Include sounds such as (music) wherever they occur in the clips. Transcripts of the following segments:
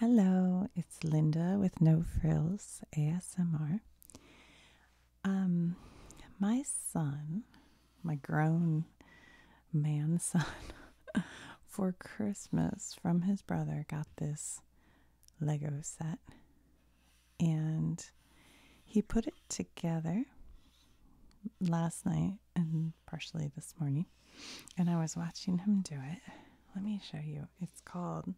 Hello, it's Linda with No Frills ASMR. Um, my son, my grown man (laughs) son, for Christmas from his brother got this Lego set and he put it together last night and partially this morning, and I was watching him do it. Let me show you. It's called.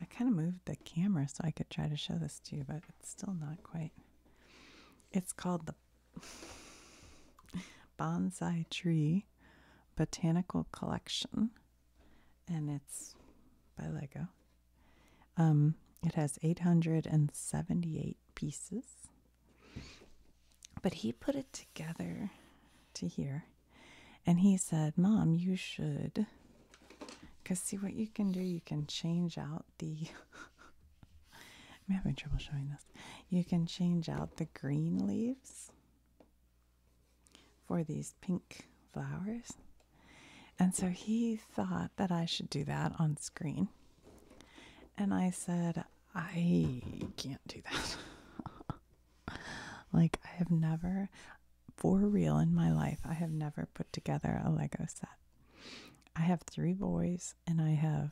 I kind of moved the camera so I could try to show this to you, but it's still not quite. It's called the (laughs) Bonsai Tree Botanical Collection, and it's by Lego. Um, it has 878 pieces, but he put it together to here. And he said, Mom, you should. Because see what you can do, you can change out the. (laughs) I'm having trouble showing this. You can change out the green leaves for these pink flowers. And so he thought that I should do that on screen. And I said, I can't do that. (laughs) like I have never for real in my life I have never put together a Lego set. I have three boys and I have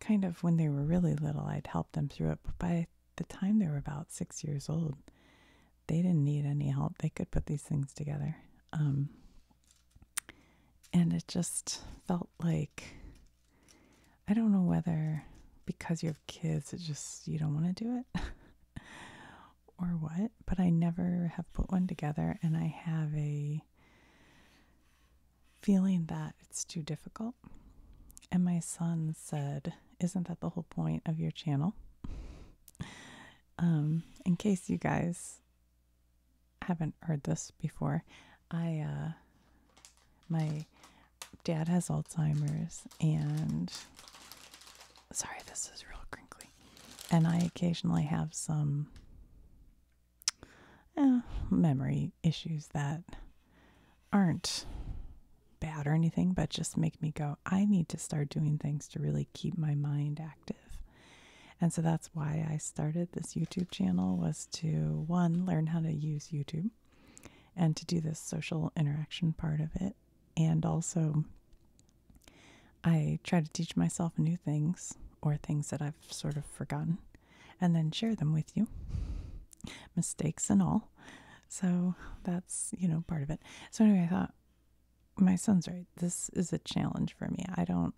kind of when they were really little I'd help them through it but by the time they were about 6 years old they didn't need any help. They could put these things together. Um, and it just felt like I don't know whether because you have kids, it just you don't want to do it (laughs) or what, but I never have put one together and I have a feeling that it's too difficult. And my son said, Isn't that the whole point of your channel? (laughs) um, in case you guys haven't heard this before, I, uh, my dad has Alzheimer's, and sorry, this is real crinkly. And I occasionally have some eh, memory issues that aren't bad or anything, but just make me go, I need to start doing things to really keep my mind active. And so that's why I started this YouTube channel was to one learn how to use YouTube and to do this social interaction part of it. And also, I try to teach myself new things or things that I've sort of forgotten and then share them with you, mistakes and all. So that's, you know, part of it. So anyway, I thought, my son's right. This is a challenge for me. I don't,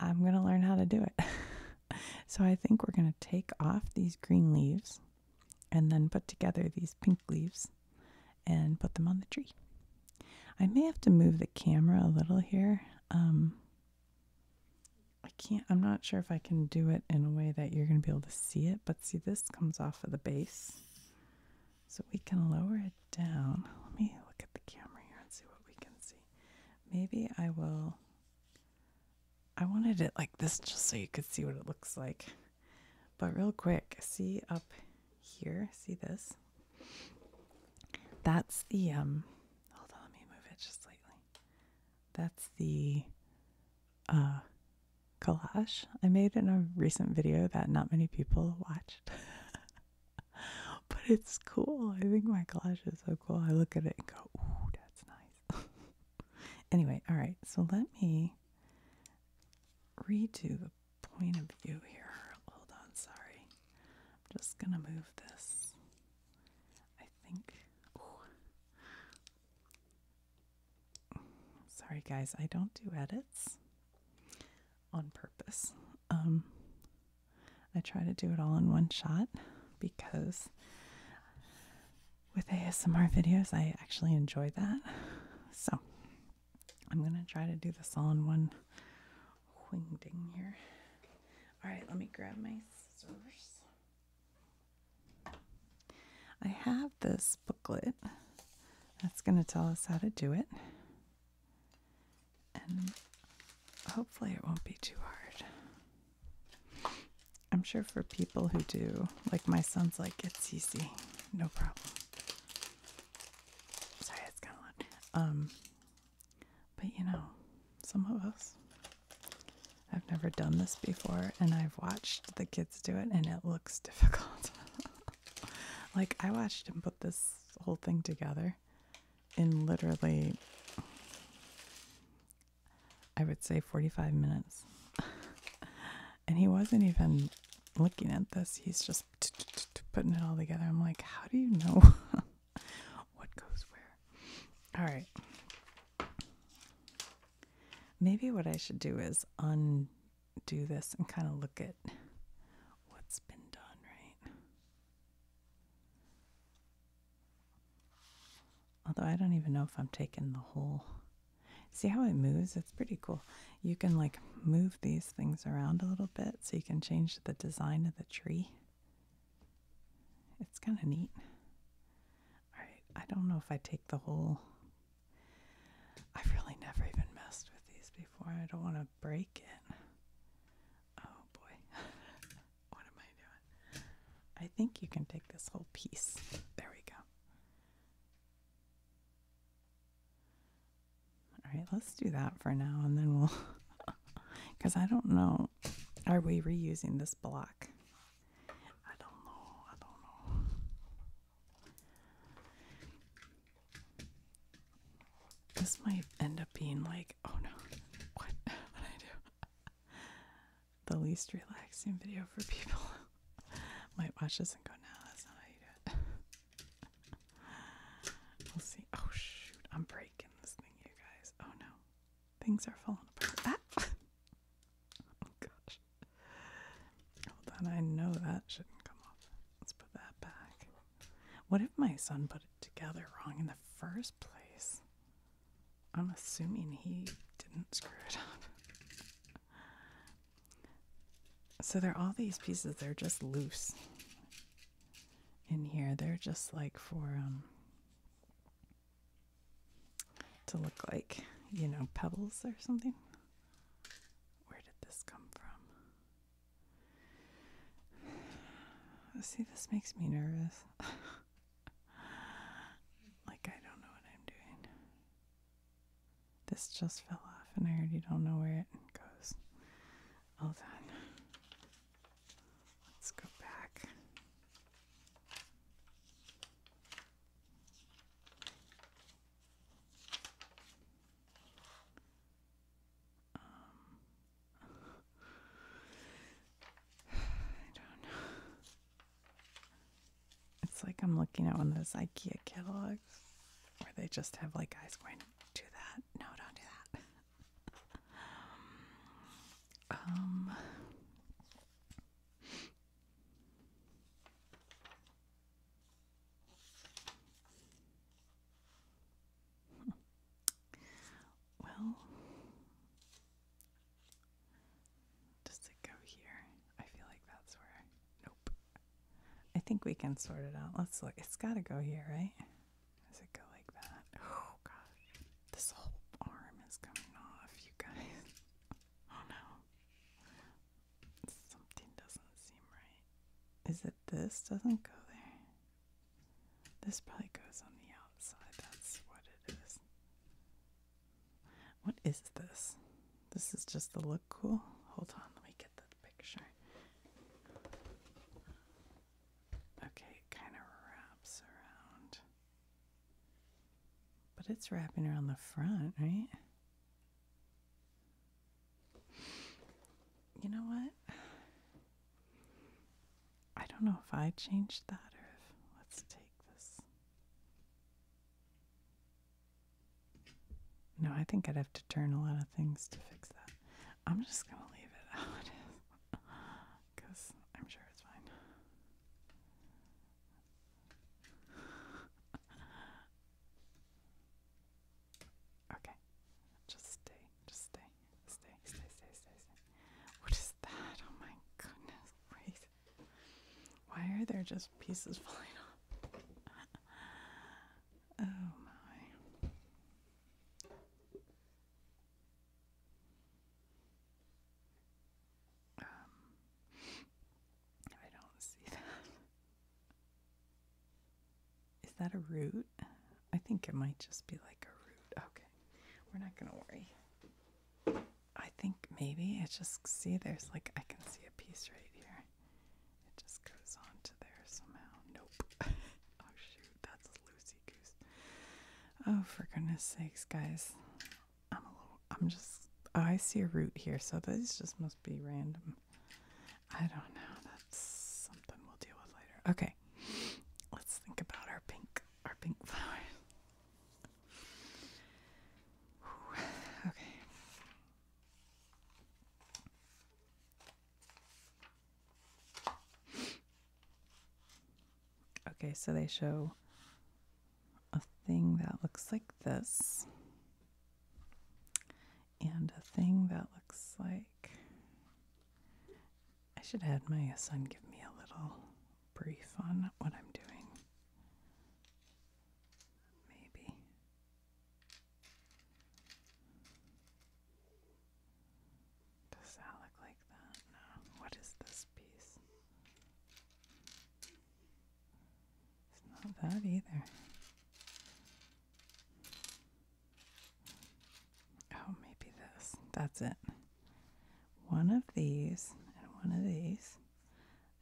I'm going to learn how to do it. (laughs) (laughs) so I think we're going to take off these green leaves and then put together these pink leaves and put them on the tree. I may have to move the camera a little here. Um, I can't, I'm not sure if I can do it in a way that you're going to be able to see it, but see, this comes off of the base. So we can lower it down. Let me look at the camera here and see what we can see. Maybe I will I wanted it like this just so you could see what it looks like. But real quick, see up here, see this? That's the um hold on, let me move it just slightly. That's the uh collage I made in a recent video that not many people watched. (laughs) but it's cool. I think my collage is so cool. I look at it and go, ooh, that's nice. (laughs) anyway, all right. So let me redo the point of view here. Hold on, sorry. I'm just going to move this. I think. Sorry, guys. I don't do edits on purpose. Um, I try to do it all in one shot because with ASMR videos, I actually enjoy that. So I'm going to try to do this all in one wing ding here. All right, let me grab my scissors. I have this booklet that's going to tell us how to do it. And hopefully it won't be too hard. I'm sure for people who do, like my son's like, it's easy, no problem. Sorry, it's kind of loud. Um, but you know, some of us, I've never done this before, and I've watched the kids do it, and it looks (laughs) difficult. like, I watched him put this whole thing together in literally I would say 45 minutes. (laughs) and he wasn't even looking at this, he's just (tsk) (tsk) (tsk) putting it all together. I'm like, how do you know (laughs) what goes where? All right. Maybe what I should do is undo this and kind of look at what's been done, right? Although I don't even know if I'm taking the whole. See how it moves? It's pretty cool. You can like move these things around a little bit so you can change the design of the tree. It's kind of neat. All right, I don't know if I take the whole. I've really never even messed with these before. I don't want to break it. Oh boy. (laughs) What am I doing? I think you can take this whole piece. There we go. All right, let's do that for now and then we'll. Because (laughs) I don't know. Are we reusing this block? I don't know. I don't know. This might end up being like, oh no, (laughs) what? what I do? the least relaxing video for people. (laughs) Might watch this and go, no, that's not how you do it. (laughs) we'll see. Oh, shoot. I'm breaking this thing, you guys. Oh, no. Things are falling apart. Ah! (laughs) oh, gosh. Hold on. I know that shouldn't come off. Let's put that back. What if my son put it together wrong in the first place? I'm assuming he didn't screw it up. So they're all these pieces, they're just loose in here. They're just like for um to look like, you know, pebbles or something. Where did this come from? (sighs) See, this makes me nervous. (laughs) like I don't know what I'm doing. This just fell off and I already don't know where it goes. Hold on. Let's go back. Um I don't know. It's like I'm looking at one of those IKEA catalogs where they just have like eyes going, do that. No, don't do that. (laughs) Um, well, does it go here? I feel like that's where. Nope. I think we can sort it out. Let's look. It's got to go here, right? Does it go like that? Oh gosh, this whole arm is coming off, you guys. Oh no, something doesn't seem right. Is it this doesn't go there? This probably goes on the outside. That's what it is. What is this? This is just the look cool. Hold on, let me get the picture. Okay, kind of wraps around. But it's wrapping around the front, right? You know what? I don't know if I changed that or if let's take this. No, I think I'd have to turn a lot of things to fix that. I'm just going to leave it (laughs) out because (laughs) I'm sure it's fine. (laughs) okay, just stay, just stay stay, stay, stay, stay, stay. What is that? Oh my goodness, Why are there just pieces (laughs) falling off? oh my. Um, I don't see that. Is that a root? I think it might just be like a root. Okay. We're not gonna worry. I think maybe it's just see there's like I can see a piece right here. It just goes on to there somehow. Nope. (laughs) oh shoot, that's Lucy Goose. Oh for goodness sakes, guys. I'm a little I'm just I see a root here, so this just must be random. I don't know. That's something we'll deal with later. Okay. Let's think about our pink our pink flower. Okay. Okay, so they show a thing that looks like this, and a thing that looks like I should have had my son give me a little brief on what I'm doing. Maybe. Does that like that? No. What is this piece? It's not that either. Oh, maybe this. That's it one of these and one of these,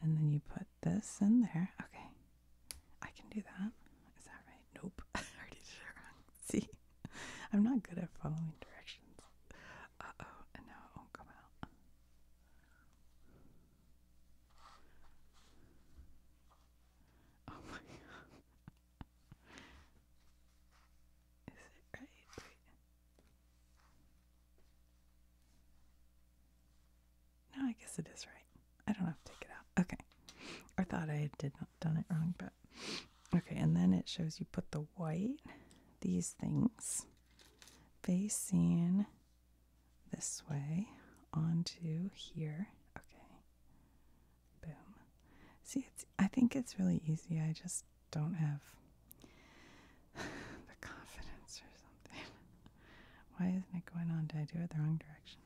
and then you put this in there. Okay, I can do that. Is that right? Nope. (laughs) I already did it wrong. See, I'm not good at following directions. Uh oh, and now it won't come out. Oh my (laughs) god. Is it right? No, I guess it is right. I don't have to take it out. Okay. I thought I did not done it wrong, but okay, and then it shows you put the white, these things, facing this way onto here. Okay. Boom. See, it's, I think it's really easy. I just don't have (sighs) the confidence or something. (laughs) Why isn't it going on? Did I do it the wrong direction?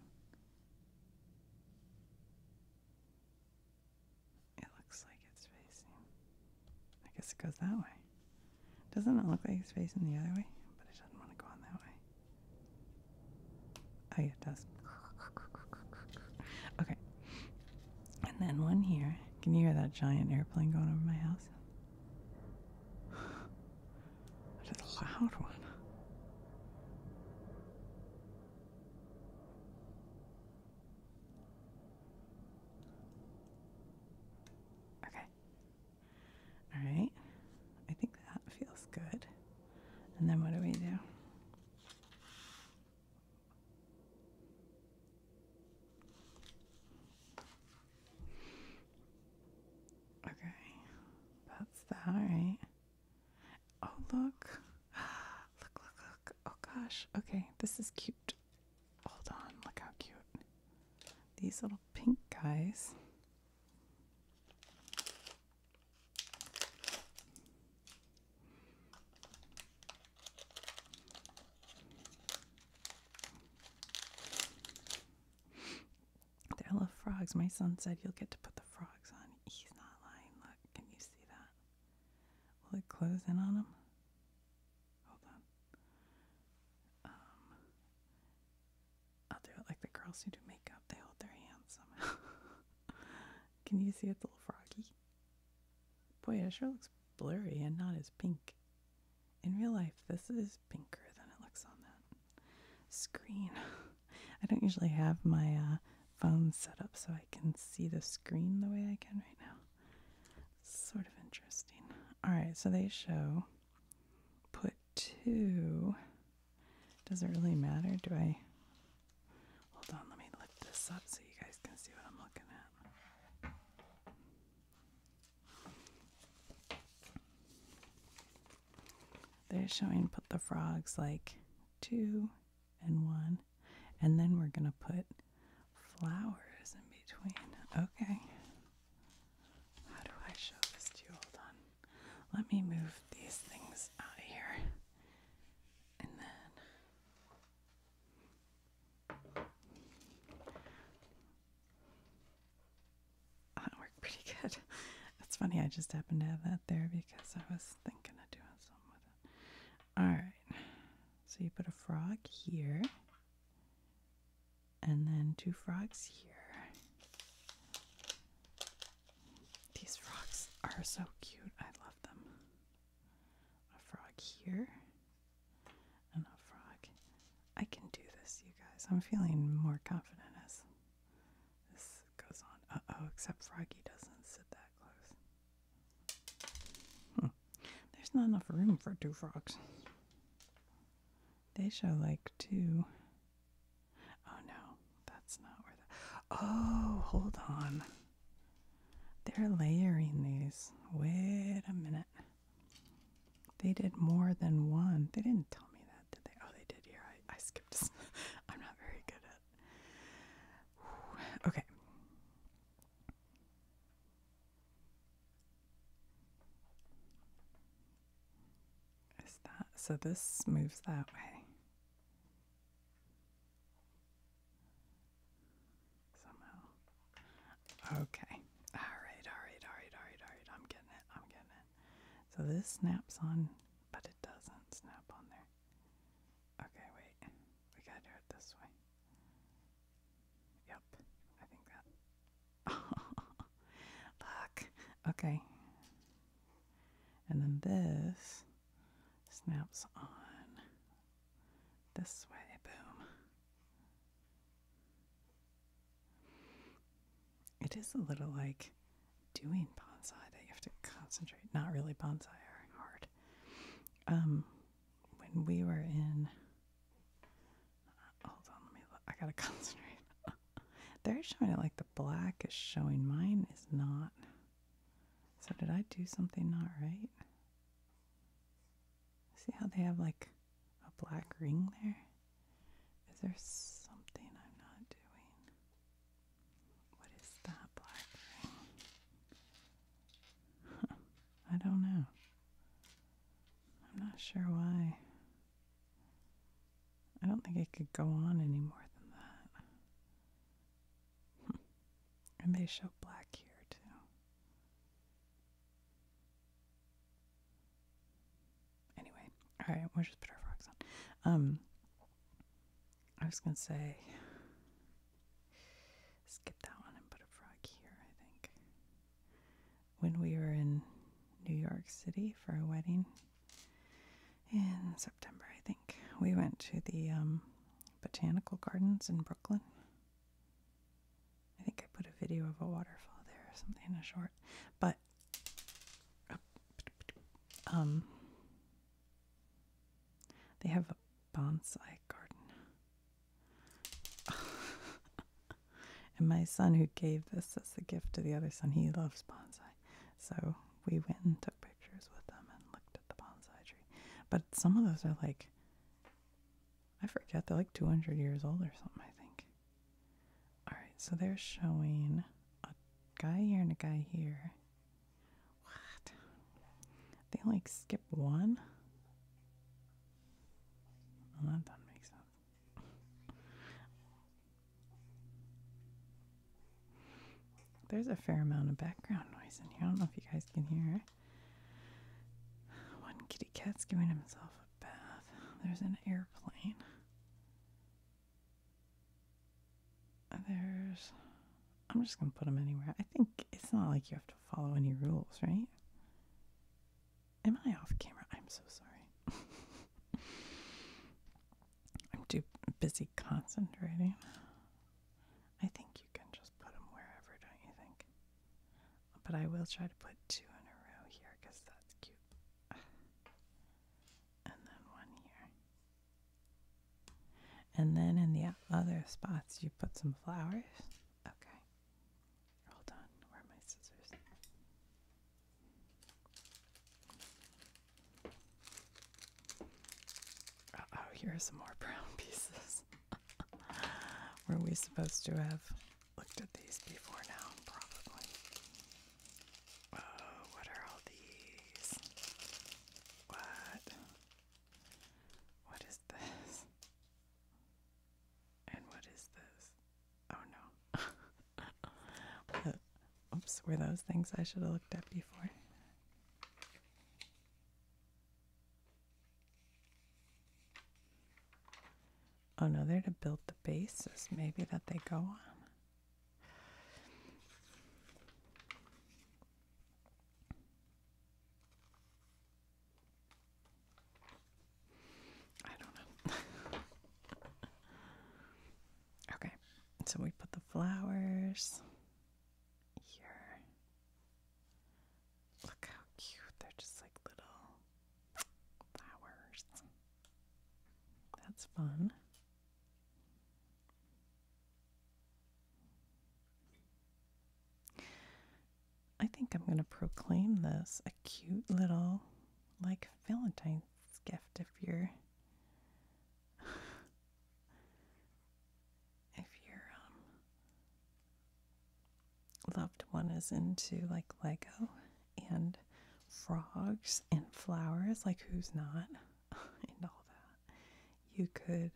It looks like it's facing. I guess it goes that way. Doesn't it look like it's facing the other way? But it doesn't want to go on that way. Oh, yeah, it does. (laughs) okay, and then one here. Can you hear that giant airplane going over my house? (sighs) That is a loud one. Okay. All right. I think that feels good. And then what do we do? Okay, that's that, right? Oh, look. (gasps) Look, look, look. Oh, gosh. Okay, this is cute. Hold on, look how cute. These little pink guys. I love frogs. My son said you'll get to put the frogs on. He's not lying. Look, can you see that? Will it close in on him? Hold on. Um, I'll do it like the girls who do makeup. They hold their hands (laughs) can you see it's a little froggy? Boy, it sure looks blurry and not as pink. In real life, this is pinker than it looks on that screen. (laughs) I don't usually have my uh, phone set up so I can see the screen the way I can right now. It's sort of interesting. All right, so they show put two. Does it really matter? Do I Hold on, let me lift this up so you guys can see what I'm looking at. They're showing put the frogs like two and one, and then we're gonna put flowers in between. Okay. How do I show this to you? Hold on. Let me move these things out of here. And then that worked pretty good. That's (laughs) funny, I just happened to have that there because I was thinking of doing something with it. Alright, so you put a frog here, and then two frogs here. These frogs are so cute, I love them a frog here, and a frog. I can do this, you guys. I'm feeling more confident as this goes on. Uh oh, except Froggy doesn't sit that close. Hmm. There's not enough room for two frogs. They show like two. Oh no, that's not where the. Oh, hold on. They're layering these. Wait a minute. They did more than one. They didn't tell me that, did they? Oh, they did here. I, I skipped. (laughs) I'm not very good at. (sighs) Okay. Is that so? This moves that way. Somehow. Okay. Alright, alright, alright, alright, alright. I'm getting it. I'm getting it. So this snaps on, but it doesn't snap on there. Okay, wait. We gotta do it this way. Yep. I think that. (laughs) Fuck. Okay. And then this snaps on this way, boom. It is a little like doing bonsai that you have to concentrate. Not really bonsai or hard. Um, when we were in, uh, hold on, let me I gotta (laughs) concentrate. They're showing it like the black is showing. Mine is not. So did I do something not right? See how they have like a black ring there? Is there something I'm not doing? What is that black ring? (laughs) I don't know. I'm not sure why. I don't think it could go on any more than that. (laughs) and they show black here too. Anyway, all right, we'll just put our frocks on. Um, I was gonna say, skip that one and put a frog here. I think when we were in New York City for a wedding in September, I think. We went to the um, botanical gardens in Brooklyn. I think I put a video of a waterfall there or something in a short. But um, they have a bonsai garden. (laughs) and my son, who gave this as a gift to the other son, he loves bonsai. So we went and took pictures with them and looked at the bonsai tree. But some of those are like, I forget, they're like 200 years old or something, I think. All right, so they're showing a guy here and a guy here. What? They like skip one? Well, that doesn't make sense. There's a fair amount of background noise in here. I don't know if you guys can hear One kitty cat's giving himself a bath. There's an airplane. There's. I'm just going to put them anywhere. I think it's not like you have to follow any rules, right? Am I off camera? I'm so sorry. (laughs) I'm too busy concentrating. I think you can just put them wherever, don't you think? But I will try to put two in a row here because that's cute. (sighs) And then one here. And then in the other spots, you put some flowers. Okay. Hold on. Where are my scissors? Uh, oh, here are some more (laughs) brown pieces. (laughs) Were we supposed to have looked at these before now? Probably. Oh, what are all these? What? What is this? And what is this? Oh no. (laughs) Oops, were those things I should have looked at before? Oh no, they're to build the bases maybe that they go on. I don't know. (laughs) okay, so we put the flowers here. Look how cute. They're just like little flowers. That's fun. I think I'm going to proclaim this a cute little, like, Valentine's gift if you're if your um, loved one is into like Lego and frogs and flowers, like who's not, (laughs) and all that, you could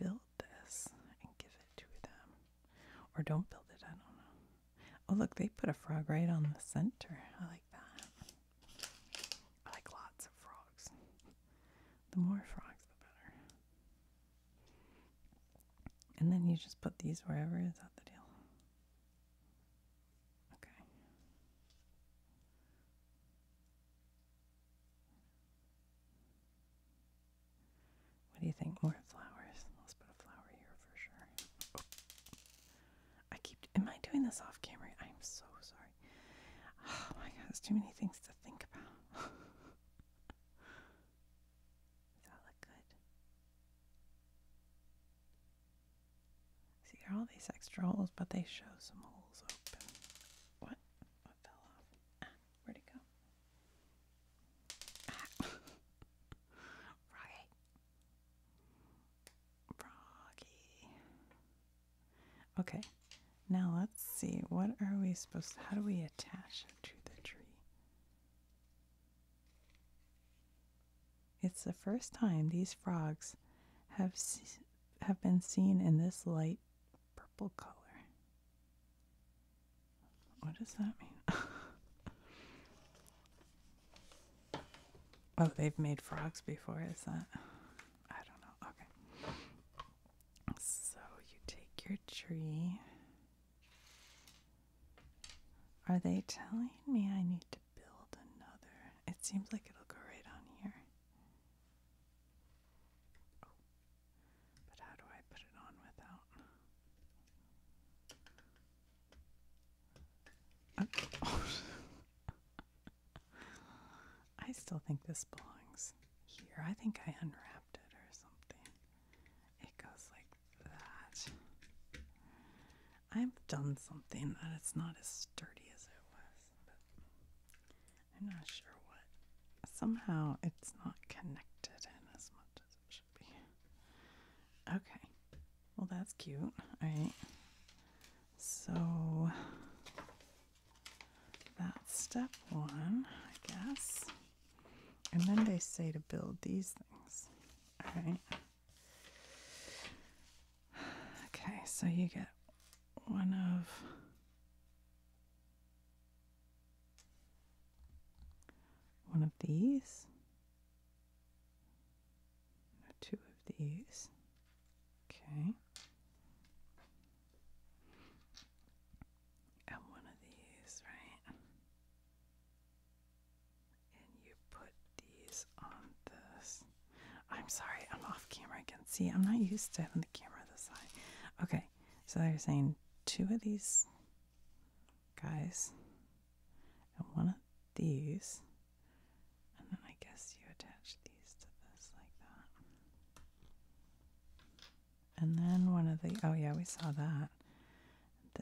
build this and give it to them. Or don't build it, I don't know. Oh, look, they put a frog right on the center. I like that. I like lots of frogs. The more frogs, the better. And then you just put these wherever. Is that the deal? Okay. What do you think? More flowers. Let's put a flower here for sure. I keep. Am I doing this off camera? I'm so sorry. Oh my god, there's too many things to think about. (laughs) Does that look good? See, there are all these extra holes, but they show some holes open. What? What fell off? Ah, where'd it go? Ah. (laughs) Froggy. Froggy. Okay, now let's see. What are we supposed to, how do we attach it to the tree? It's the first time these frogs have have been seen in this light purple color. What does that mean? (laughs) oh, they've made frogs before, is that? I don't know. Okay. So you take your tree. Are they telling me I need to build another? It seems like it'll go right on here. Oh. But how do I put it on without? Oh. (laughs) (laughs) I still think this belongs here. I think I unwrapped it or something. It goes like that. I've done something that it's not as sturdy as it was, I'm not sure what. Somehow it's not connected in as much as it should be. Okay. Well, that's cute. All right. So that's step one, I guess. And then they say to build these things. All right. Okay, so you get one of. One of these, two of these, Okay. And one of these, right? And you put these on this. I'm sorry, I'm off camera again. See, I'm not used to having the camera this high. Okay, so they're saying two of these guys and one of these and then I guess you attach these to this like that. And then one of the, oh yeah, we saw that.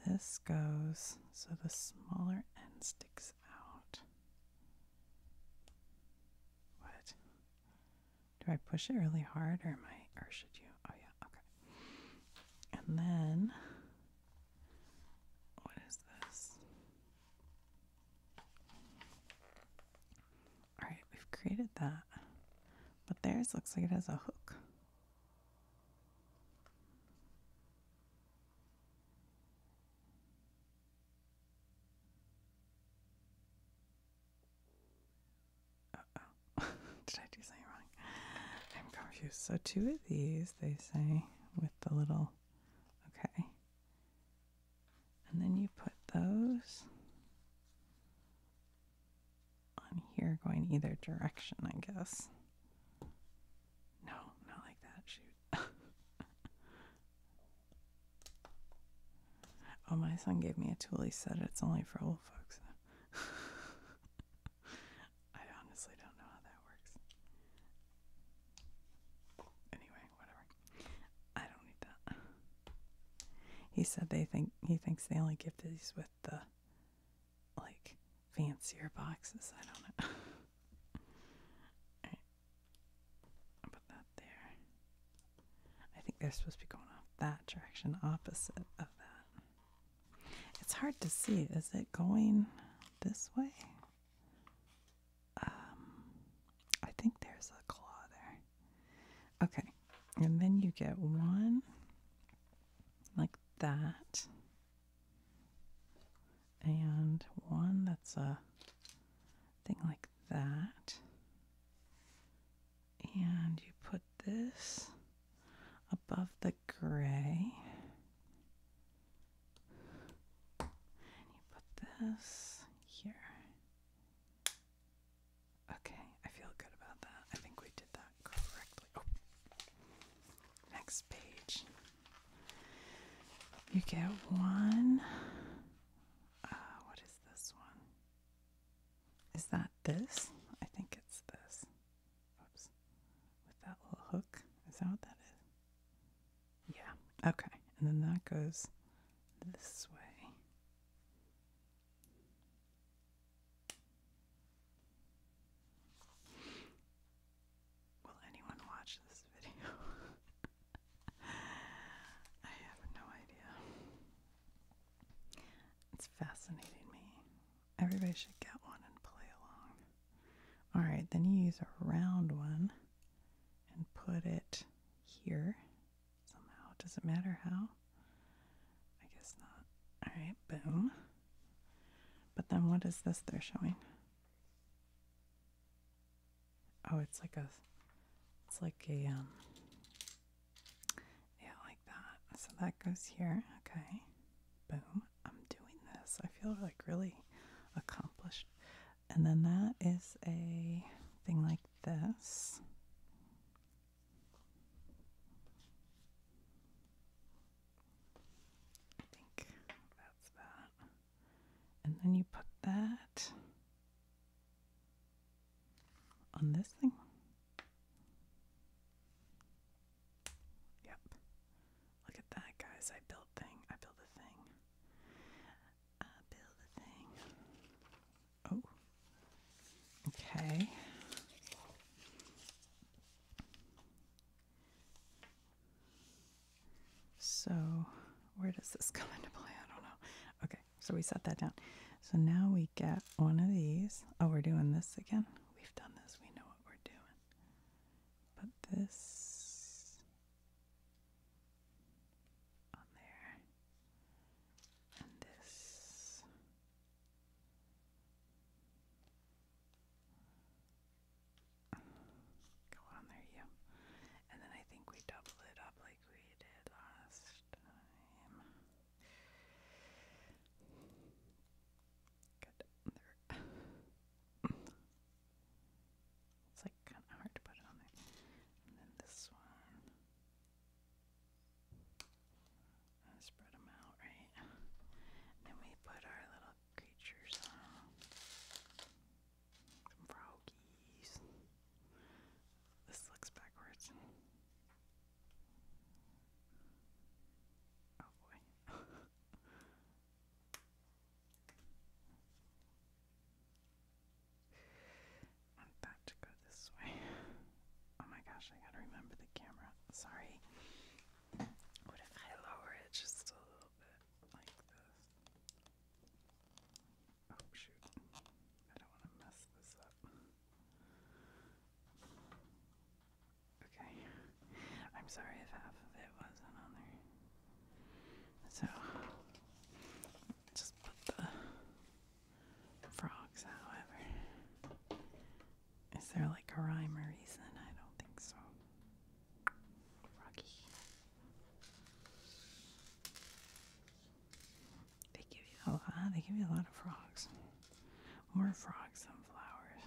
This goes, so the smaller end sticks out. What? Do I push it really hard or am I, or should you? Oh yeah, okay. And then, what is this? Alright, we've created that. But theirs looks like it has a hook. oh. (laughs) Did I do something wrong? I'm confused. So, two of these, they say, with the little. Okay. And then you put those on here going either direction, I guess. No, not like that. Shoot. (laughs) oh, my son gave me a tool. He said it's only for old folks. (laughs) I honestly don't know how that works. Anyway, whatever. I don't need that. He said they think he thinks the only gift is with the like fancier boxes. I don't know. i put that there. I think they're supposed to be going off that direction, opposite of that. It's hard to see. Is it going this way? um, I think there's a claw there. Okay, and then you get one like that, and one that's a thing like that, and you put this above the gray. And you put this here. Okay, I feel good about that. I think we did that correctly. Oh. Next page. You get one. Uh, what is this one? Is that this? I think it's this. Oops. With that little hook. Is that what that is? Yeah. Okay. And then that goes this way. Will anyone watch this video? (laughs) I have no idea. It's fascinating me. Everybody should get one and play along. Alright, then you use a round one and put it here somehow. Does it matter how? I guess not. All right, boom. But then what is this they're showing? Oh, it's like a, it's like a, um, yeah, like that. So that goes here. Okay, boom. I'm doing this. I feel like really accomplished. And then that is a thing like this. I think that's that. And then you put that on this thing. Yep. Look at that, guys. I built thing. I built a thing uh, build a thing. Oh, okay. So, where does this (laughs) come into play? I don't know. Okay, so we set that down. So now we get one of these. Oh, we're doing this again. We've done this, we know what we're doing. But this on there. And this go on there, yeah. And then I think we double it up like we did last time. Good. There. It's like kind of hard to put it on there. And then this one. And spread them out, right? And we put our little creatures on. Some froggies. This looks backwards. Oh boy. (laughs) I want that to go this way. Oh my gosh, I gotta remember the camera. Sorry. What if I lower it just a little bit like this? Oh shoot. I don't want to mess this up. Okay. I'm sorry if half of it wasn't on there. So just put the frogs however. Is there like a rhyme or reason? I don't think so. Froggy. They give you a lot they give you a lot of frogs. More frogs than flowers.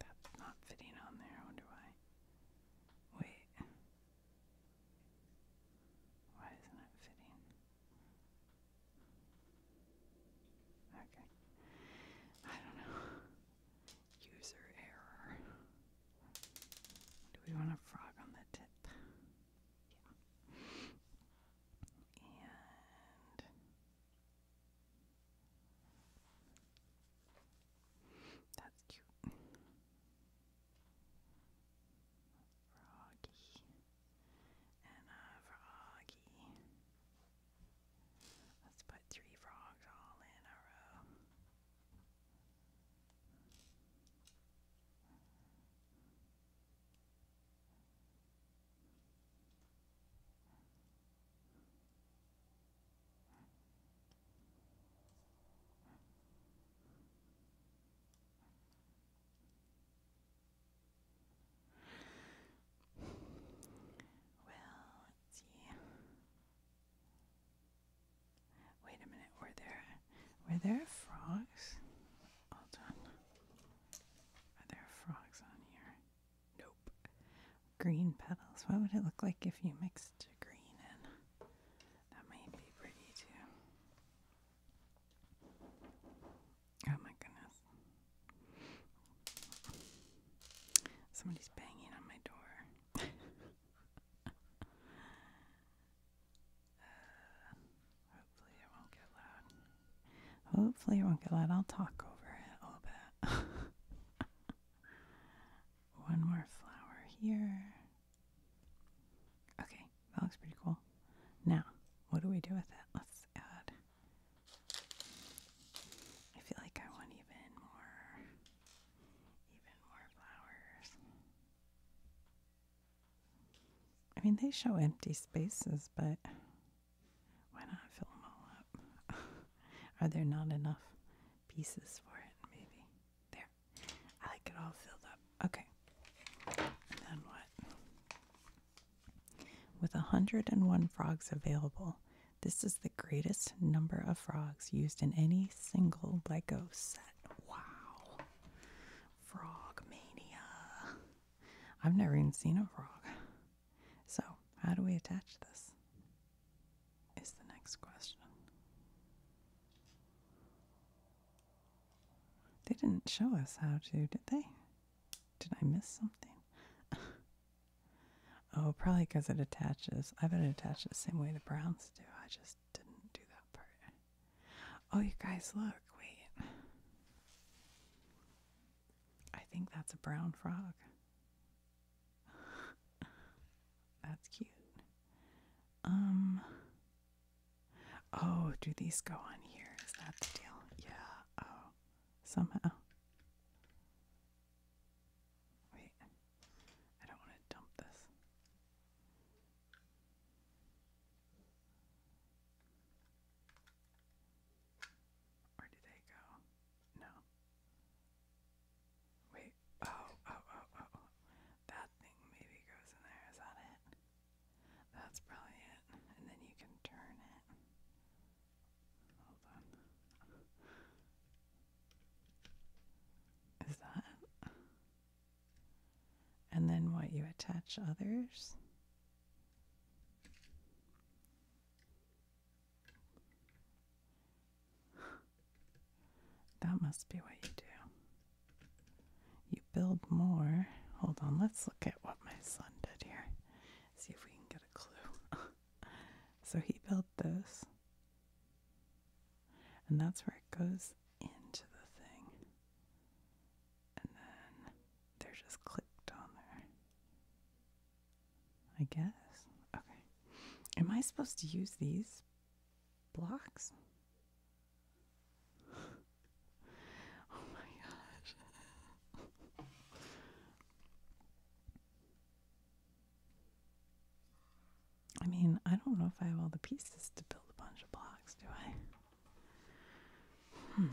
That's not fitting on there. How do I? Wait. Why isn't it fitting? Okay. I don't know. User error. Do we want a frog on the tip? Yeah. And that's cute. Froggy. And a uh, froggy. Let's put three frogs all in a row. Well, let's see. Wait a minute, were there were there frogs? Hold on. Are there frogs on here? Nope. Green petals. What would it look like if you mixed green in? That might be pretty too. Oh my goodness. Somebody's banging on my door. (laughs) Uh, hopefully it won't get loud. Hopefully it won't get loud. I'll talk over it a little bit. (laughs) One more flower here. Okay, that looks pretty cool. Now, what do we do with it? Let's add. I feel like I want even more, even more flowers. I mean, they show empty spaces, but why not fill them all up? (laughs) Are there not enough pieces for it? Maybe. There. I like it all filled up. Okay. then what? With 101 frogs available, this is the greatest number of frogs used in any single Lego set. Wow. Frog mania. I've never even seen a frog. So, how do we attach this? Is the next question. They didn't show us how to, did they? Did I miss something? (laughs) oh, probably because it attaches. I bet it attaches the same way the browns do. I just didn't do that part. Oh, you guys, look. Wait. I think that's a brown frog. (laughs) That's cute. Um. Oh, do these go on here? Is that the deal? Yeah. Oh, somehow. Wait. I don't want to dump this. Where did they go? No. Wait. Oh, oh, oh, oh, oh, That thing maybe goes in there. Is that it? That's probably And then you can turn it. Hold on. Is that? And then what? You attach others? That must be what you do. You build more. Hold on, let's look at what my son did here. See if we can get a clue. (laughs) so he built this. And that's where it goes into the thing. And then they're just clipped on there. I guess. Okay. Am I supposed to use these blocks? (laughs) oh my gosh. I mean, I don't know if I have all the pieces to build a bunch of blocks, do I? Hmm.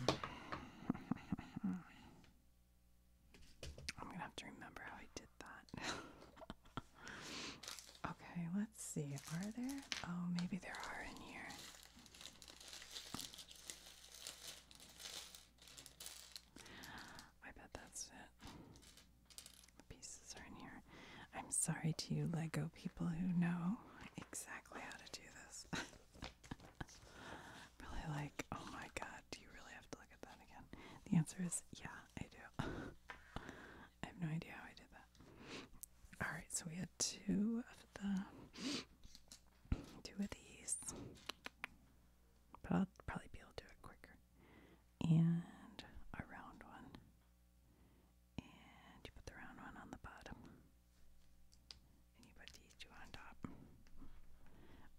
I'm gonna have to remember how I did that. (laughs) okay, let's see. Are there? Oh, maybe there are in here. I bet that's it. The pieces are in here. I'm sorry to you, Lego people who know exactly how to do this. (laughs) really like, oh my god, do you really have to look at that again? The answer is yeah, I do. (laughs) I have no idea how I did that. Alright, so we had two of the two of these. But I'll probably be able to do it quicker. And a round one. And you put the round one on the bottom. And you put these two on top.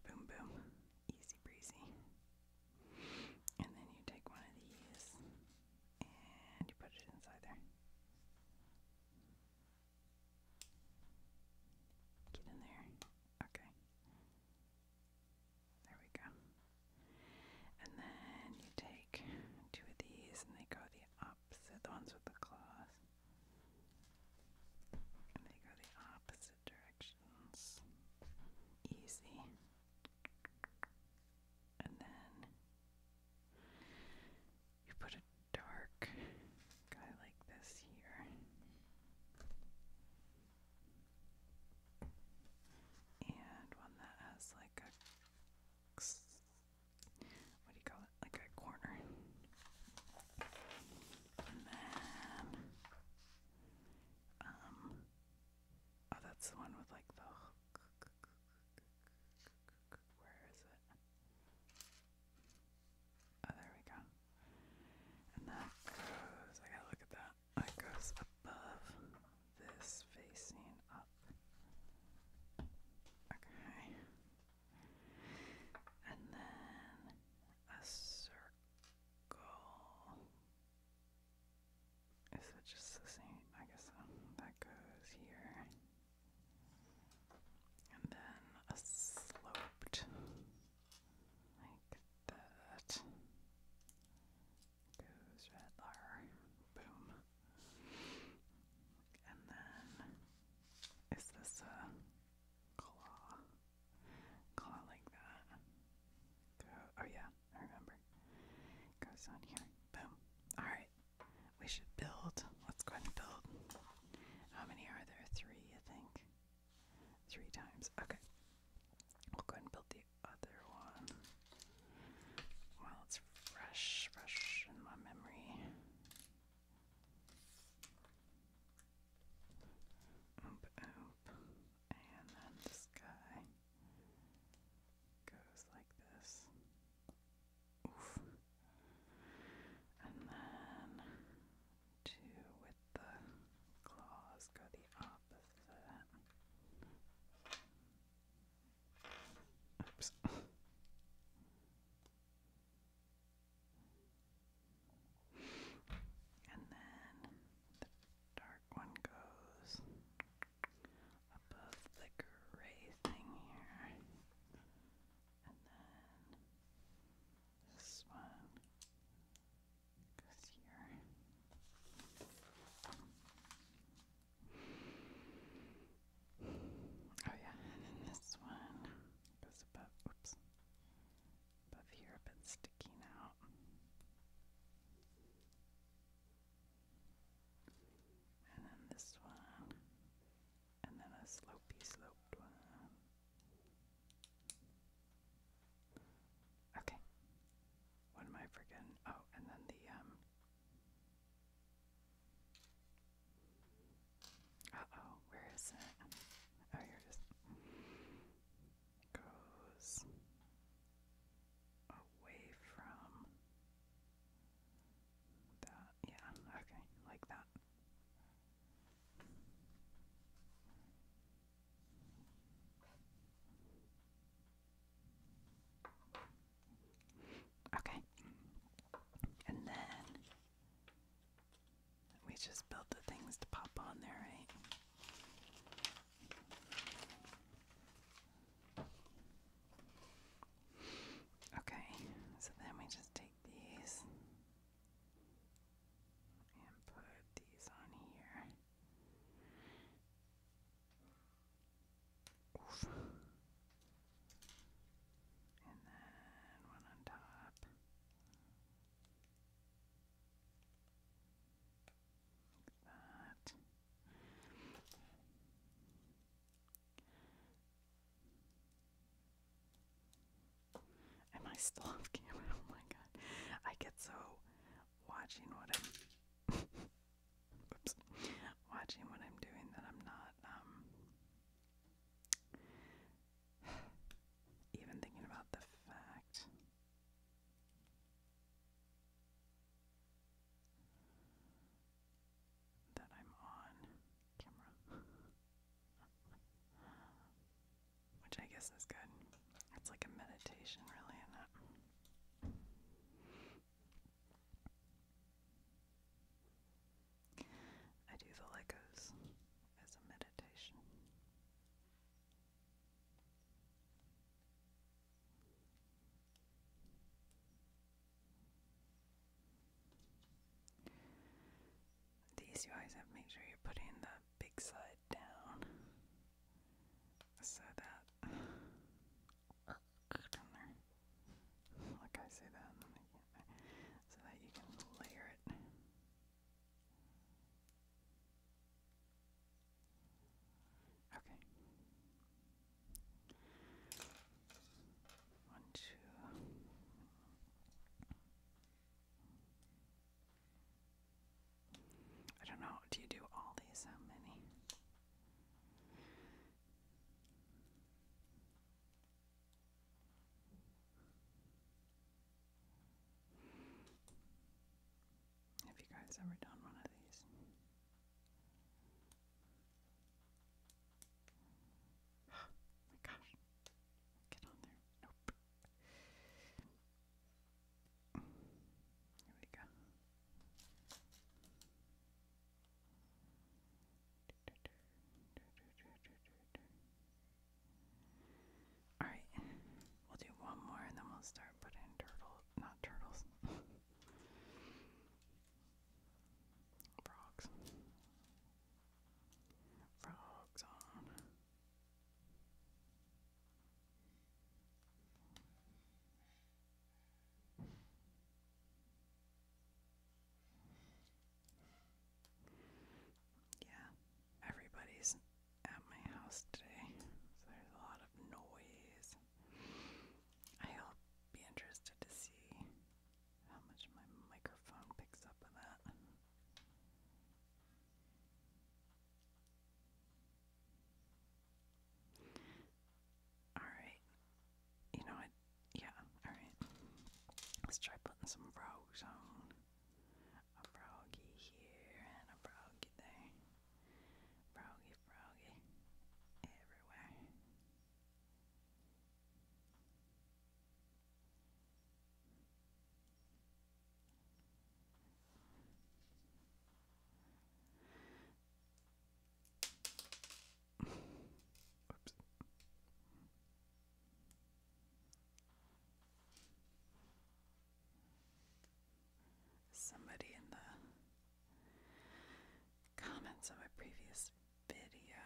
Boom, boom easy breezy. And then you take one of these and you put it inside there. Get in there. Okay. There we go. And then you take two of these and they go the opposite, the ones with the claws. And they go the opposite directions. Easy. And then you put a dark guy like this here. And one that has like a what do you call it? Like a corner. Um, oh, that's the one with like the. Where is it? Oh, there we go. And that goes. I gotta look at that. That goes above this facing up. Okay. And then a circle goal. Is it just the same? I guess that goes here. And then a sloped, like that, goes right Boom. And then, is this a claw, claw like that. oh yeah, I remember. Goes on here. Boom. All right, we should build. Let's go and build. How many are there? Three, I think. Three times. Okay. We'll go and build the other one. While it's fresh, fresh in my memory. Oop, oop. And then this guy goes like this. Oof. And then two with the claws go the opposite. Oops. And then the dark one goes above the gray thing here. And then this one goes here. Oh yeah, (laughs) and then this one goes above oops above here if it's sticking out. And then this one. And then a slopey sloped one. Okay. What am I forgetting? Oh, and then the um uh oh, where is it? Oh, here it is. Goes away from that. Yeah, okay, like that. Okay. And then we just built the things to pop on there, right? Okay, so then we just take these and put these on here. And then one on top. That. Am I still off camera? (laughs) Oh my god. I get so watching what I'm (laughs) watching what I'm doing that I'm not um, (sighs) Even thinking about the fact that I'm on camera, (laughs) which I guess is good. It's like a meditation, really, is I do the Legos as a meditation. These you have to sure you're putting the big side down so that (sighs) Like I say that so that you can layer it. Okay. One, two. I don't know. Do you do all these? How many? Have you guys ever done one of these? Oh (gasps) my gosh. Get on there. Nope. Here we go. Alright, we'll do one more and then we'll start putting turtles, not turtles, frogs. Frogs on. Yeah, everybody's at my house today, so there's a lot of noise. I'll be interested to see how much my microphone picks up of that. Alright. You know what? Yeah, alright. Let's try putting some rows on. A froggy here and a froggy there. Froggy, froggy everywhere. Oops. Somebody in the comments of a previous video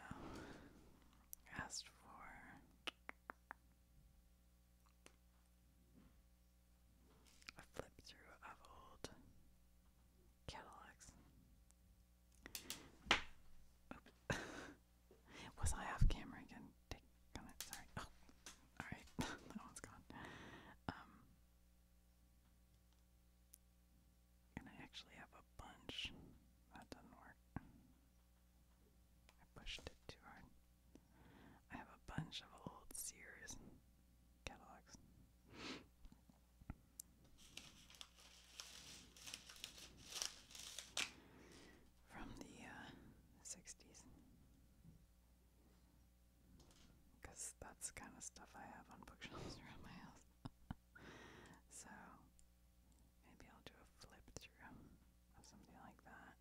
asked for a flip through of old catalogs. (laughs) Was I off camera again? Sorry. Oh, all right. (laughs) that one's gone. Um, and I actually have a bunch. That doesn't work. I pushed it too hard. I have a bunch of old Sears catalogs from the 60s. Uh, because that's the kind of stuff I have on bookshelves (laughs) around my house. (laughs) so maybe I'll do a flip through of something like that.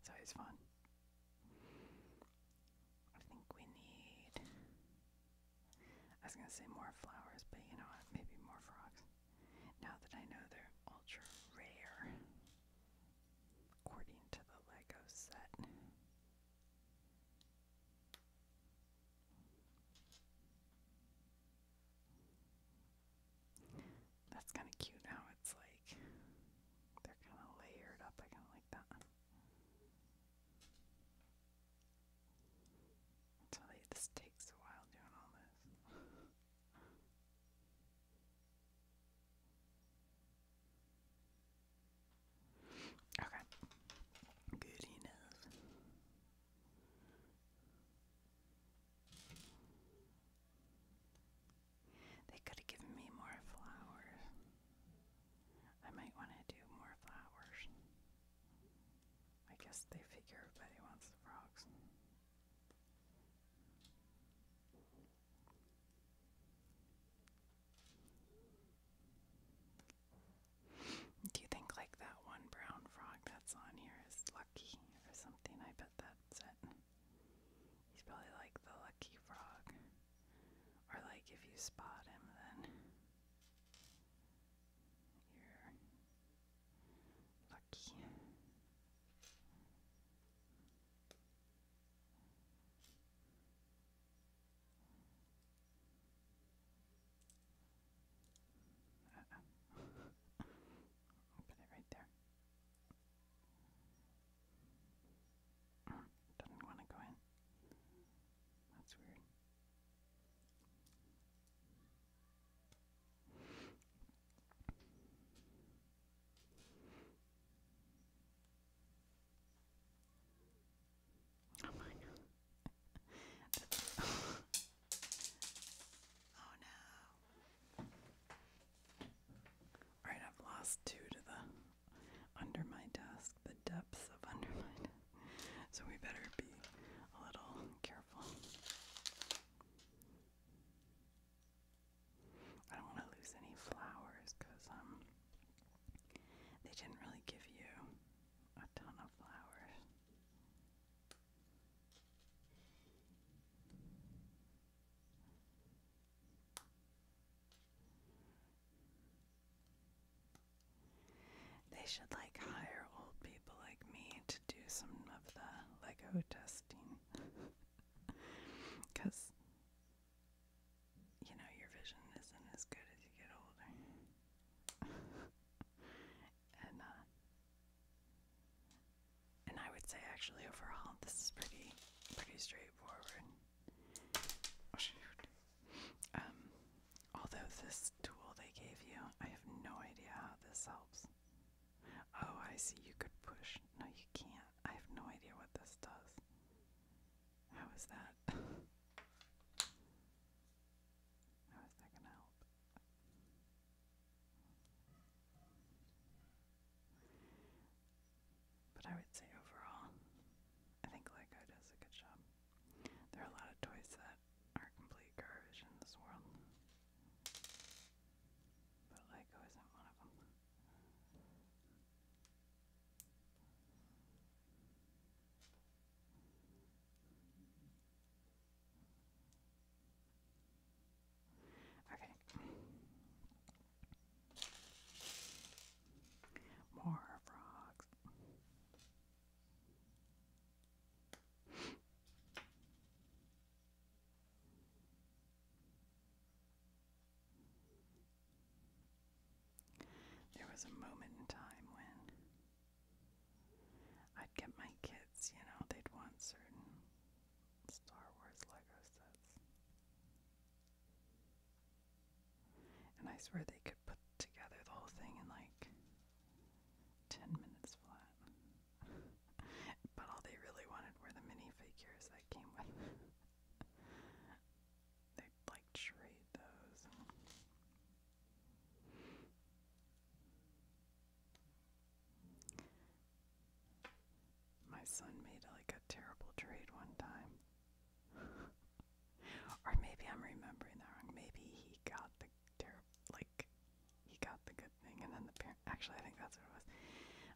It's always fun. I think we need I was gonna say more flowers, but you know Maybe more frogs. Now that I know they're ultra rare, according to the Lego set. That's kind of cute now. It's like they're kind of layered up. I kind of like that. I tell you, this takes a while doing all this. okay. Good They could have given me more flowers. I might want to do more flowers. I guess they figure everybody wants the frogs. Do you think like that one brown frog that's on here is lucky or something? I bet that's it. He's probably like the lucky frog. Or like if you spot him then you're lucky. (laughs) put it right there. Mm, doesn't want to go in. That's weird. Oh my god. oh no. Alright, I've lost two to the under my desk, the depths of under (laughs) So we better be a little careful. I don't want to lose any flowers because um, they didn't really give you a ton of flowers. They should like hire old people like me to do some of the Lego testing. Because, (laughs) you know, your vision isn't as good as you get older. (laughs) and, uh, and I would say actually overall this is pretty, pretty straightforward. Oh, um, although this tool they gave you, I have no idea how this helps. Oh, I see. You could push. No, you can't. I have no idea what this does. How is that? (laughs) how is that going to help? But I would say overall, I think Lego does a good job. There are a lot of toys that are complete garbage in this world. But Lego isn't one of them. Okay. More frogs. There was a moment in time when I'd get my kids, you know, they'd want certain Star Wars Lego sets. And I swear they could put together the whole thing in like 10 minutes flat. (laughs) but all they really wanted were the minifigures that came with (laughs) They'd like trade those. My son made like a terrible trade one time. (laughs) Or maybe I'm remembering that wrong. Maybe he got the ter like he got the good thing and then the parent actually I think that's what it was.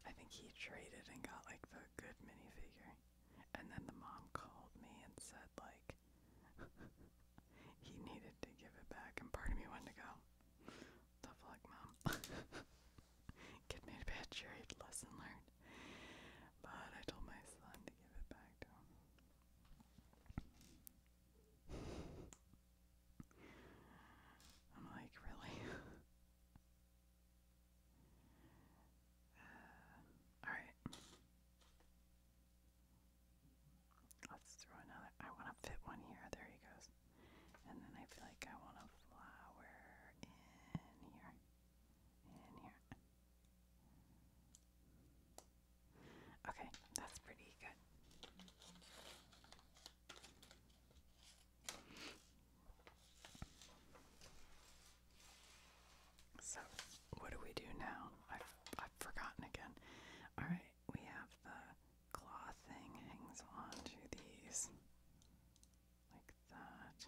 I think he traded and got like the good minifigure. And then the mom called me and said like (laughs) he needed to give it back and part of me wanted to go. Tough luck, mom. Kid (laughs) made a bad trade, lesson learned. But I told my son to give it back to him. I'm like, really? (laughs) Uh, Alright. Let's throw another. I want to fit one here. There he goes. And then I feel like I want a flower in here. In here. Okay, that's pretty good. So, what do we do now? I've, I've forgotten again. Alright, we have the claw thing hangs onto these like that.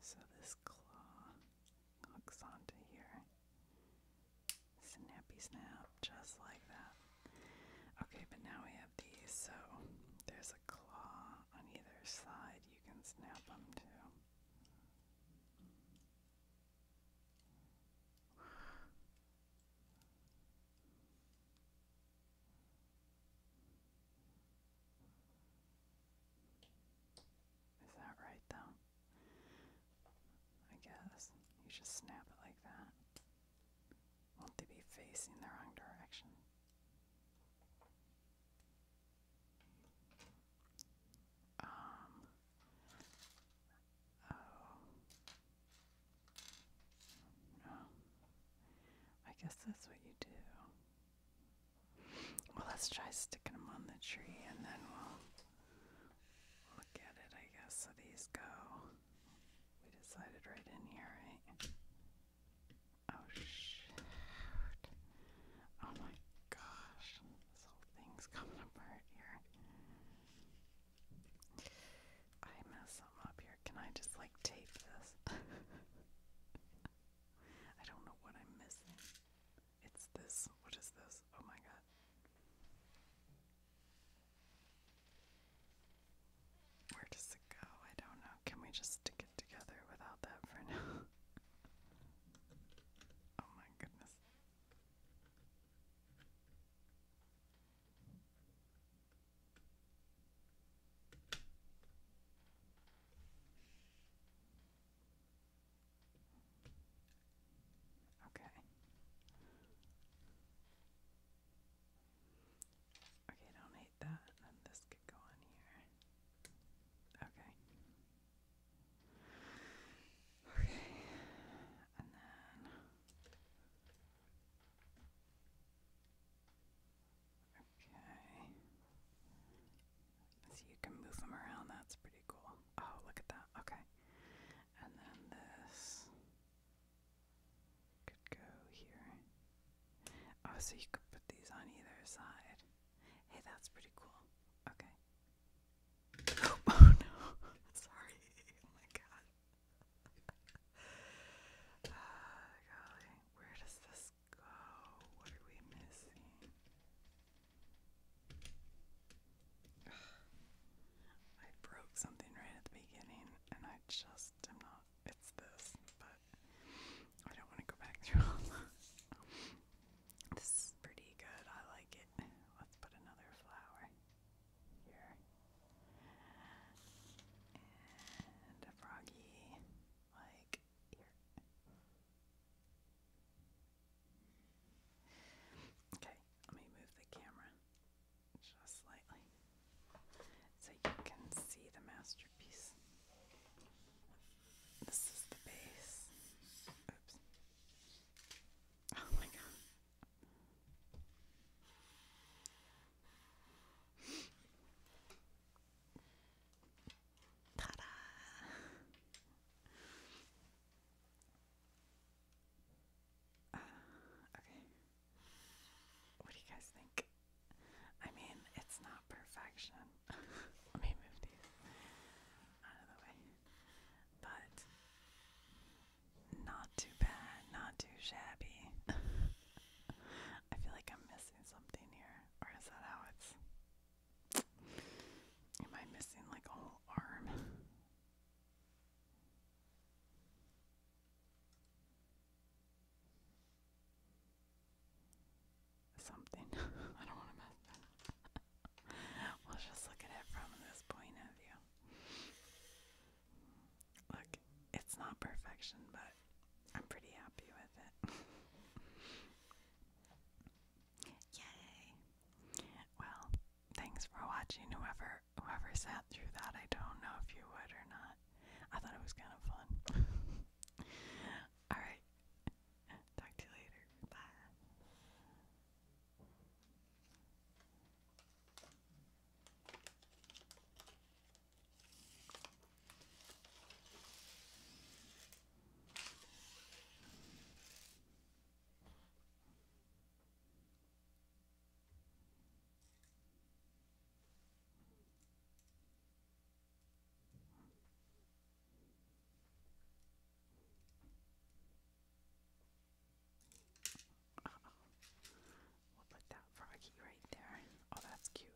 So this claw hooks onto here. Snappy snap, just like that. Okay, but now we have these, so there's a claw on either side you can snap them too. Is that right though? I guess. You just snap it like that. Won't they be facing the wrong direction? Um. Oh. No. I guess that's what you do. Well, let's try sticking them on the tree and then we'll look at it, I guess. So these go. We decided right in here, right? Oh, shit. Oh my gosh. This whole thing's coming apart here. I mess them up can I just like tape this? (laughs) I don't know what I'm missing. It's this. What is this? Oh my god. Where does it go? I don't know. Can we just stick it together without that for now? (laughs) oh my goodness. Okay. Okay, don't hate that. And this could go on here. Okay. Okay. And then so you can move them around, that's pretty cool. Oh, look at that, okay. And this could go here. Oh, so you could put these on either side. Hey, that's pretty cool. Okay. (gasps) Oh, no. (laughs) Sorry. Oh my god. (laughs) Ah, golly. Where does this go. What are we missing? (sighs) I broke something right at the beginning and I just am not. It's this, but I don't want to go back through all that. This is pretty good. I like it. Let's put another flower here. And a froggy. Like here. Okay, let me move the camera just slightly so you can see the masterpiece. This is the base. Oops. Oh my god. Uh, okay. What do you guys think? I mean, it's not perfection. (laughs) Let me move these out of the way. But not too bad, not too shabby. (laughs) I feel like I'm missing something here, or is that how it's? Am I missing like a whole arm? Something. (laughs) I don't want to mess that up. Let's (laughs) just look at it from this point of view look, it's not perfection, but I'm pretty happy with it. (laughs) Yay! Well, thanks for watching. Whoever whoever sat through that, I don't know if you would or not. I thought it was kind of fun. (laughs) All right. Talk to you later. Bye. We'll put that froggy right there. Oh, that's cute.